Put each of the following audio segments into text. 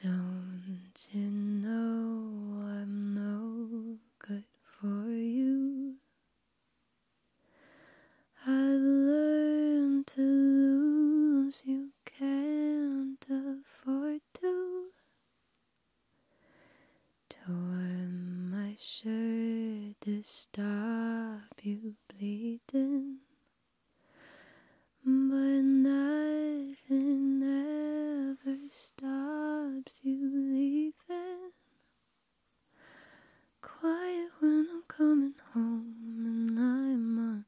Don't you know I'm no good for you? I've learned to lose, you can't afford to. To my shirt to stop you bleeding, but nothing ever stops you leaving. Quiet when I'm coming home and I'm on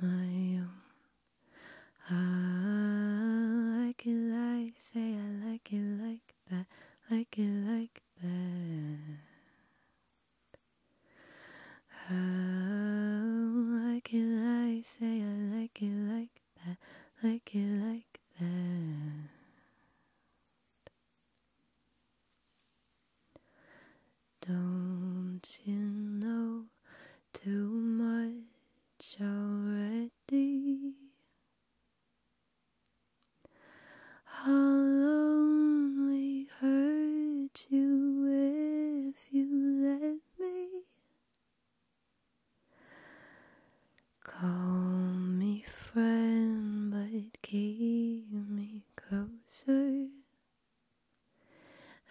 my own. I like it like, say I like it like. I like it like that. I oh, like it like say I like it like that, like it like that. Don't you know too much already? I'll only hurt you if you let me. Call me friend, but keep me closer.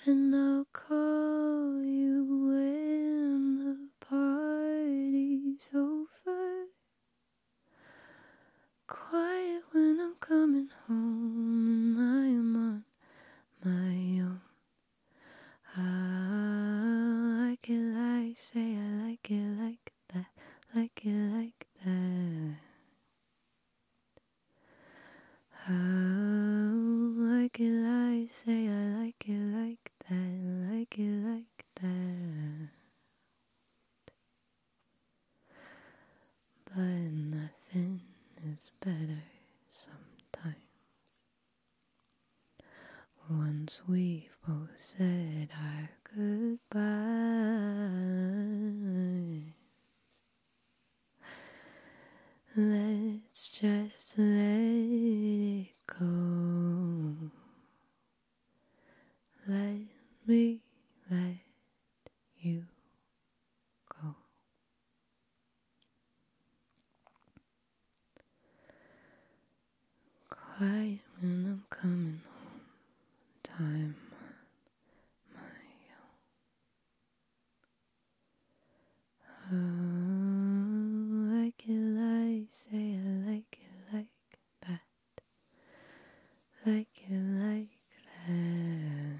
And I'll call you when the party's over. Quiet when I'm coming home, and I am on my own. I like it like say, I like it like that, like it like that. I like it like say, I like it like like that, like it like that. But nothing is better sometimes. Once we've both said our goodbyes, let's just let it go. Let me let you go. Quiet when I'm coming home. Time on my own. Oh, I can lie, say I like like that. Like it like that.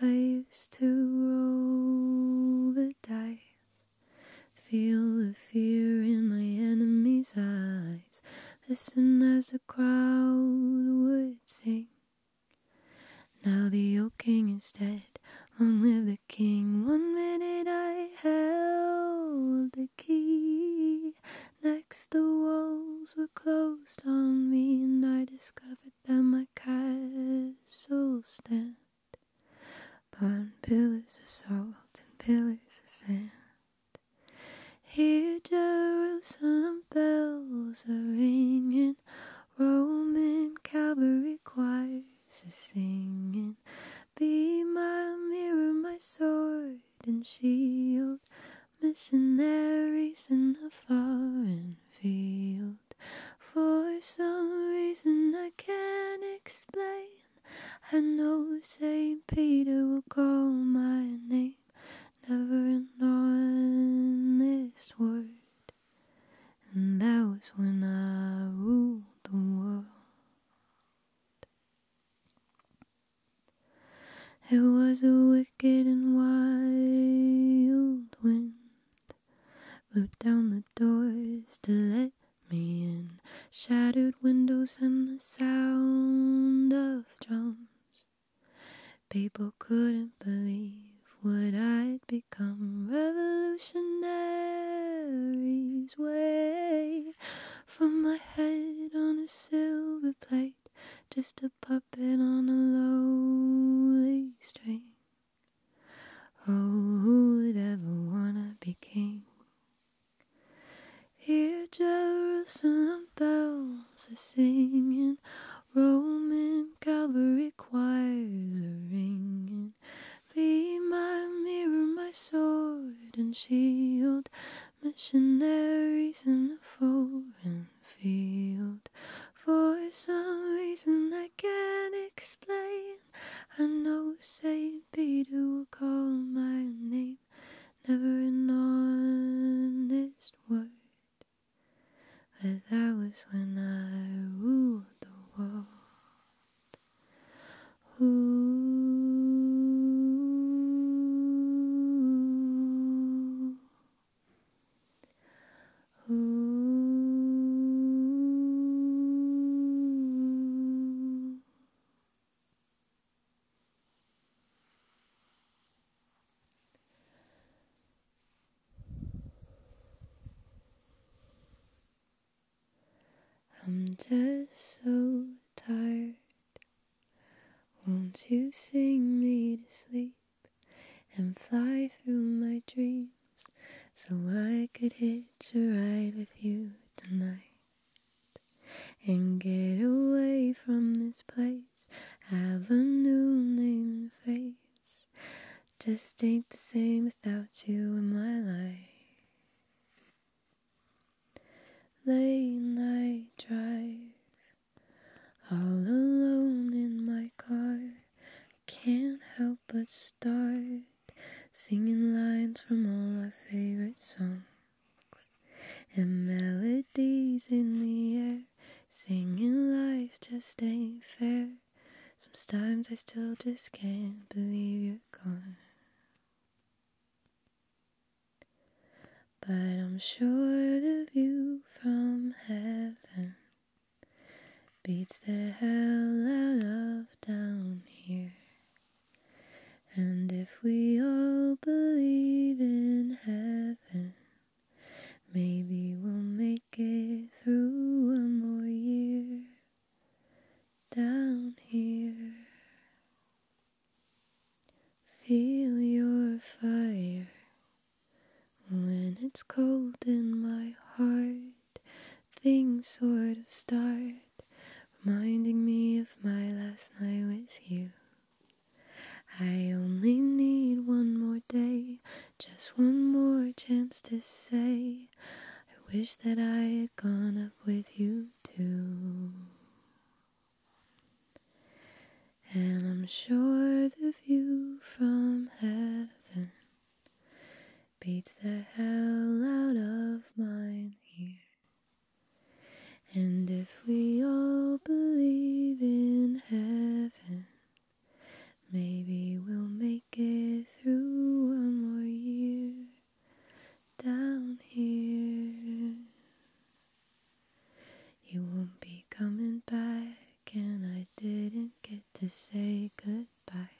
I used to roll the dice, feel the fear in my enemy's eyes, listen as the crowd would sing. Now the old king is dead. Long live the king. One minute I held the key. Next, the walls were closed on me, and I discovered that my castle stand upon pillars of salt and pillars of sand. Here, Jerusalem bells are ringing. Roman cavalry choirs are singing, Be my mirror, my sword and shield, missionaries in a foreign field. For some reason I can't explain, I know St. Peter will call my name, never an this word and that was when I ruled the world. It was a wicked and wild wind blew down the doors to let me in, shattered windows and the sound of drums. People couldn't believe would I'd become revolutionary's way. From my head on a silver plate, just a puppet on a lowly string. Oh, who would ever wanna be king? Here, Jerusalem bells are singing, Roman cavalry choirs are ringing. Be my mirror, my sword and shield, missionaries in the foreign field. For some reason I can't explain, I know St. Peter will call my name, never an honest word. But that was when I ruled the world. Ooh. Ooh. I'm just so tired. Won't you sing me to sleep and fly through my dreams so I could hitch a ride with you tonight? and get away from this place. Have a new name and face. Just ain't the same without you in my life. Late night drive, all alone in my car. Can't help but start singing lines from all our favorite songs and melodies in the air. Singing life just ain't fair. Sometimes I still just can't believe you're gone. But I'm sure the view from heaven beats the hell out of down here. And if we all believe in heaven, Maybe we'll make it through one more year down here. Feel your fire when it's cold in my heart. Things sort of start reminding me of my last night with you. I only need one more day just one more chance to say, I wish that I had gone up with you too. And I'm sure the view from heaven beats the hell out of mine here. And if we all believe in heaven, Maybe we'll make it through one more year down here. You won't be coming back, and I didn't get to say goodbye.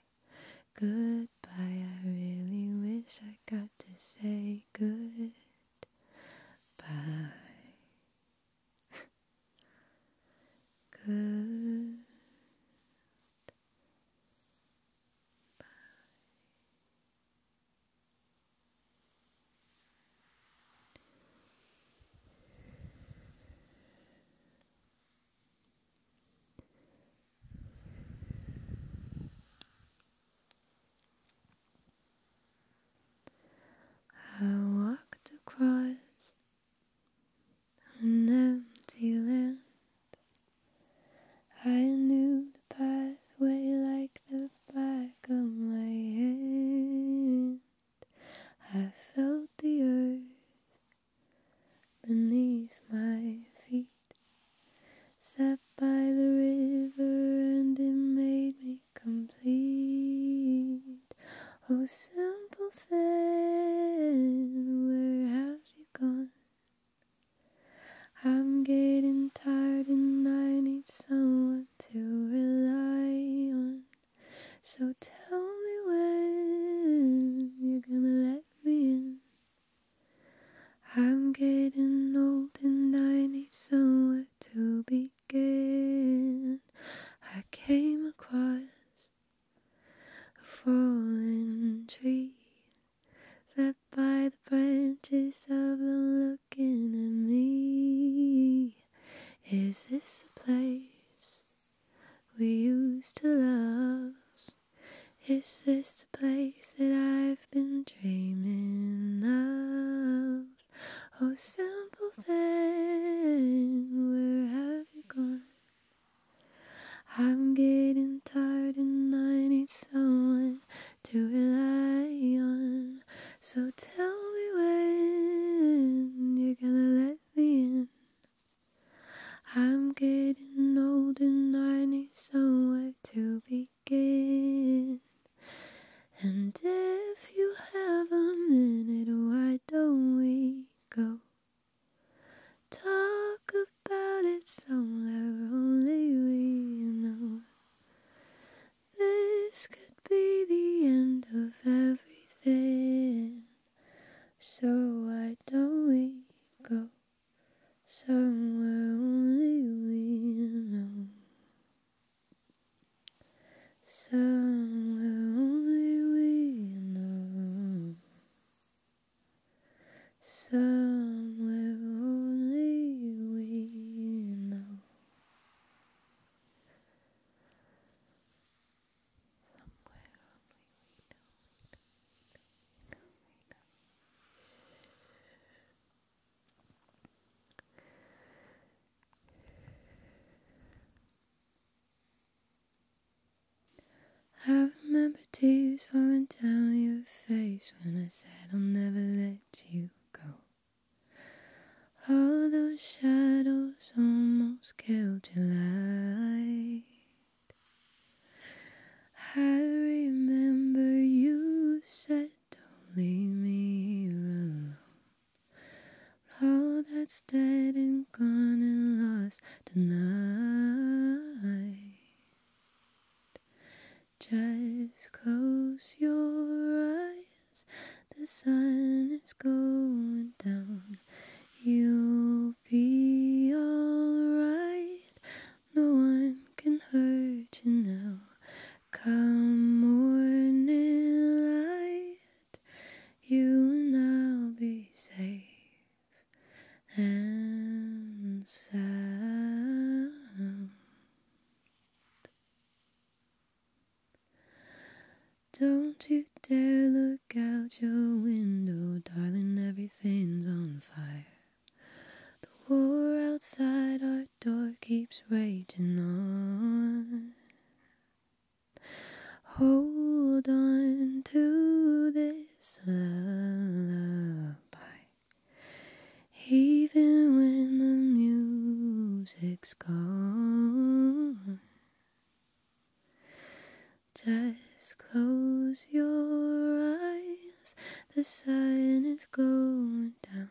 Goodbye, I really wish I got to say goodbye. Good. I walked across an empty land. I knew the pathway like the back of my hand. I felt the earth beneath my feet. Sat by the river and it made me complete. Oh, simple thing, where have you gone? I'm getting tired and I need someone to rely on. So tell me when you're gonna let me in. I'm getting old and I need somewhere to begin. I came across a fallen tree sat by the branches of the looking at me. Is this the place we used to love? Is this the place that I've been dreaming of? Oh, simple thing, where have I'm getting tired and I need someone to rely on. So tell me when you're gonna let me in. I'm getting old and I need somewhere to begin. And if you have a minute, why don't we? go. Talk about it somewhere only we know. This could be the end of everything. So why don't we go somewhere only we know? Somewhere only we know. Somewhere only we know. Somewhere only we know. Somewhere I remember tears falling down your face when I said I'll never let you go. All those shadows almost killed your light. I remember you said, Don't leave me here alone all that's dead and gone and lost tonight. Just close your eyes, the sun is going down. You'll be alright, no one can hurt you now. Come morning light, you will now be safe and sound. Don't you dare look out your window, darling, everything's on fire. The war outside our door keeps raging on. Hold on to this lullaby, even when the music's gone. Just close your eyes, the sun is going down.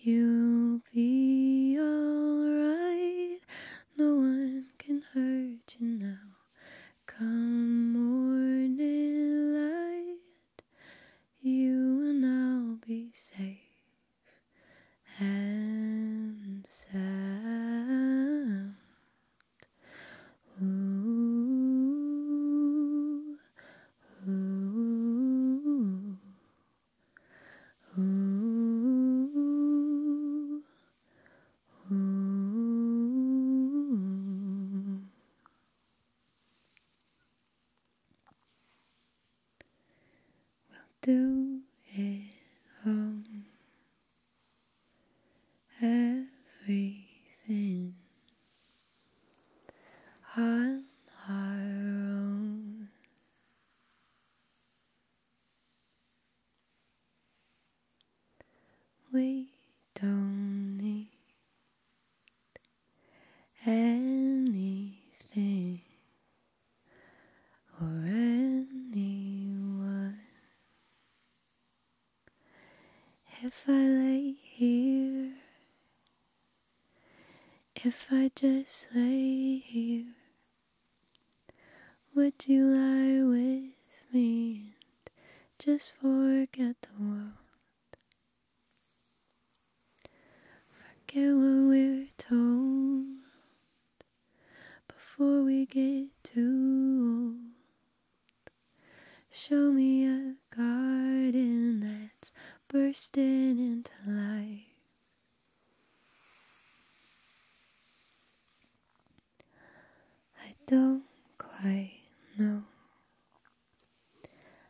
You'll be alright. No one can hurt you now. Come morning light, you and I'll be safe and sound. Ooh, ooh. Ooh, ooh. We'll do it all. Everything on our own. We don't need anything or anyone. If I lay here, if I just lay here would you lie with me and just forget the world? Forget what we're told before we get too old. Show me a garden that's bursting into light. I don't quite know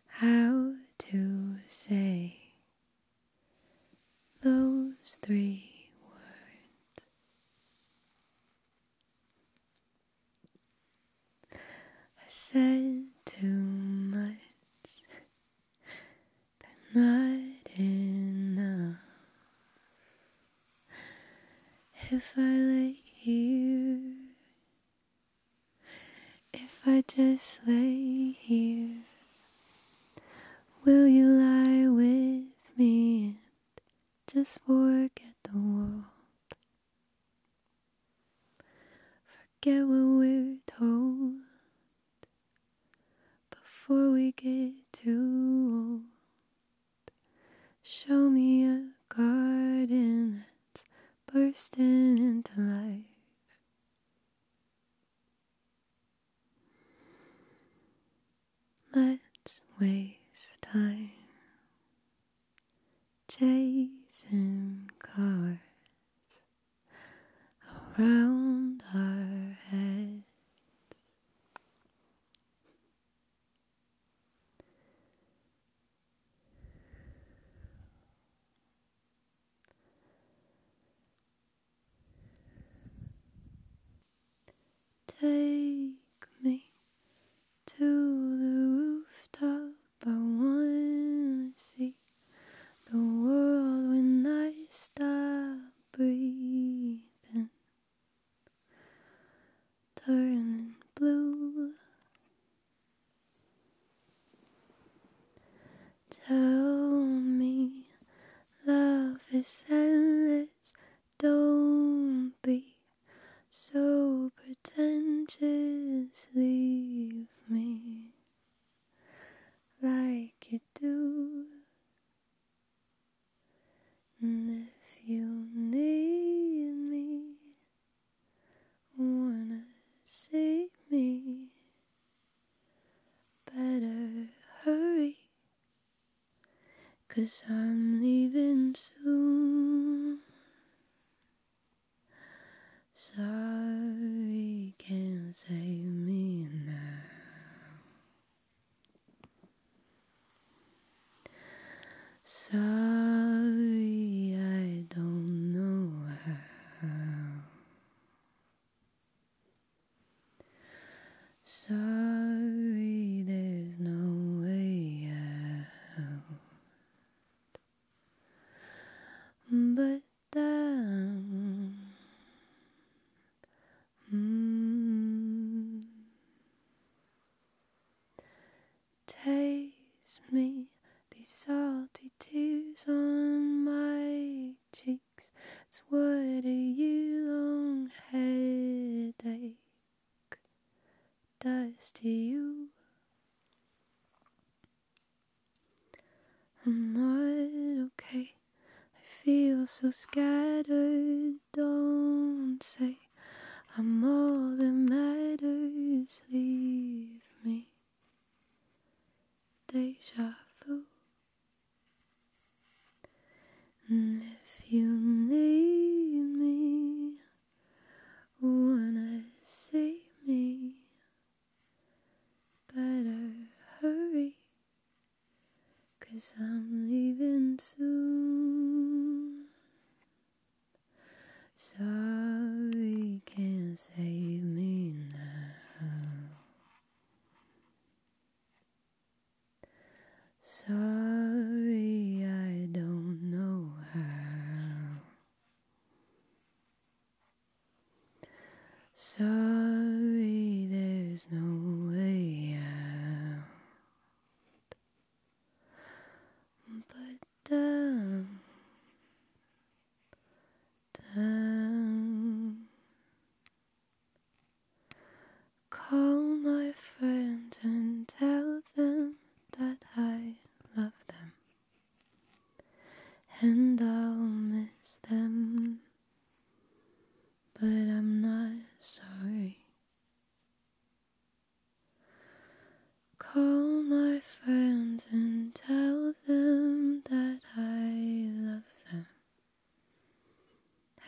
how to say those three words. I said too much they're not enough. If I lay here, if I just lay here, will you lie with me and just forget the world? Forget what we're told before we get too old. Show me a garden that's bursting into life. Let's waste time chasing cars around our heads. Take me to the rooftop. I wanna see the world when I stop breathing, turning blue. Tell me love is endless, don't be so pretentious, leave me like it do. And if you need me, wanna see me, better hurry, cause I'm leaving soon. Sorry can't save me now. Sorry, I don't know how. Sorry, there's no way out. But down. Mm. Taste me these salty tears on my cheeks. It's what a year long headache does to you. I'm not okay. I feel so scattered. Don't say I'm all that matters. Leave me. Deja vu. And if you need me, wanna see me, Better hurry, cause I'm leaving soon. Sorry, can't save me now. Sorry, I don't know how. Sorry, there's no way out. But down, um, down. Um, call my friends and tell them that I love them and I'll miss them, but I'm not sorry. Call my friends and tell them that I love them,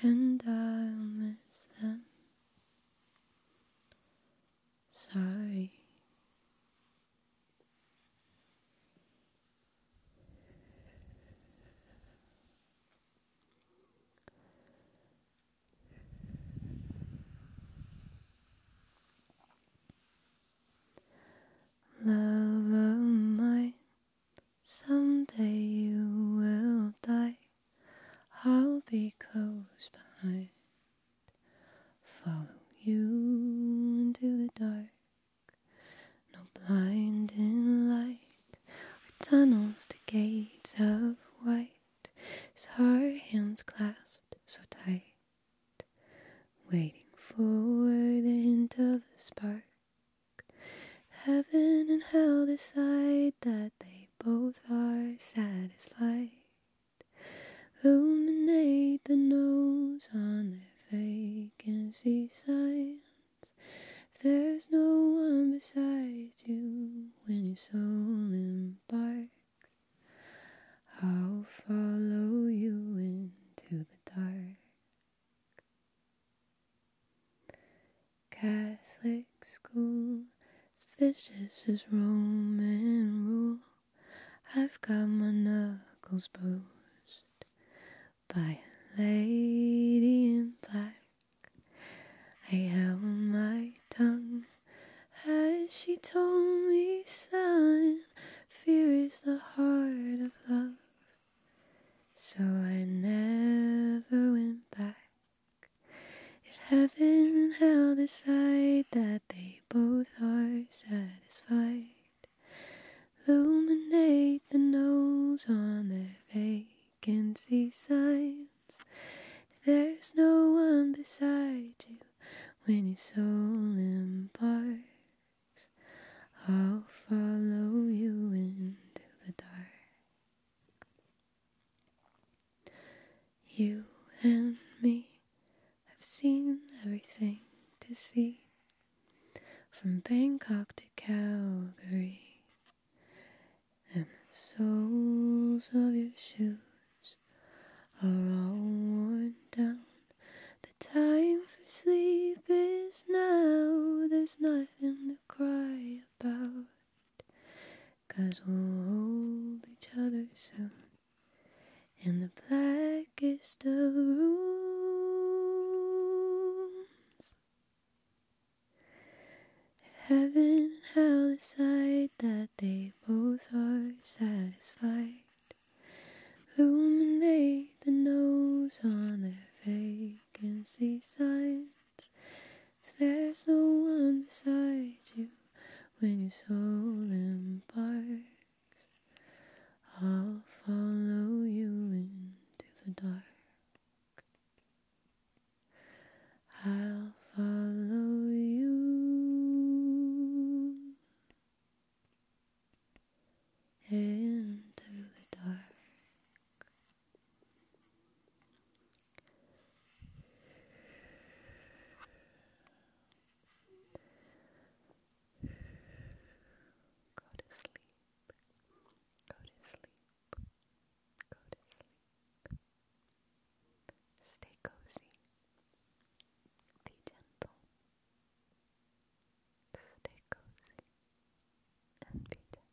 and I'll miss them. Sorry. Love of mine, someday you will die. I'll be close behind, follow you into the dark. No blinding light or tunnels the gates of white. As her hands clasped so tight, waiting for the hint of a spark. Heaven and hell decide that they both are satisfied. Illuminate the nose on their if can see signs. there's no one beside you when your soul embarks, I'll follow you into the dark. Catholic school, vicious as Roman rule. I've got my knuckles bruised by a lady in black. I held my tongue as she told me, son, fear is the heart of love. So I never went back. If heaven and hell decide that they both are satisfied illuminate the no's on their vacancy signs. There's no one beside you when your soul embarks. I'll follow you into the dark. You and me I've seen everything to see from Bangkok to Calgary, and the soles of your shoes are all worn down. The time for sleep is now, there's nothing to cry about, cause we'll hold each other soon in the blackest of rooms. If heaven hell decide that they both are satisfied, illuminate the nose on their vacancy signs. If there's no one beside you when your soul imparts. I'll follow you into the dark. I'll follow you into the dark. Go to sleep. Go to sleep. Go to sleep. Stay cozy. Be gentle. Stay cozy be gentle.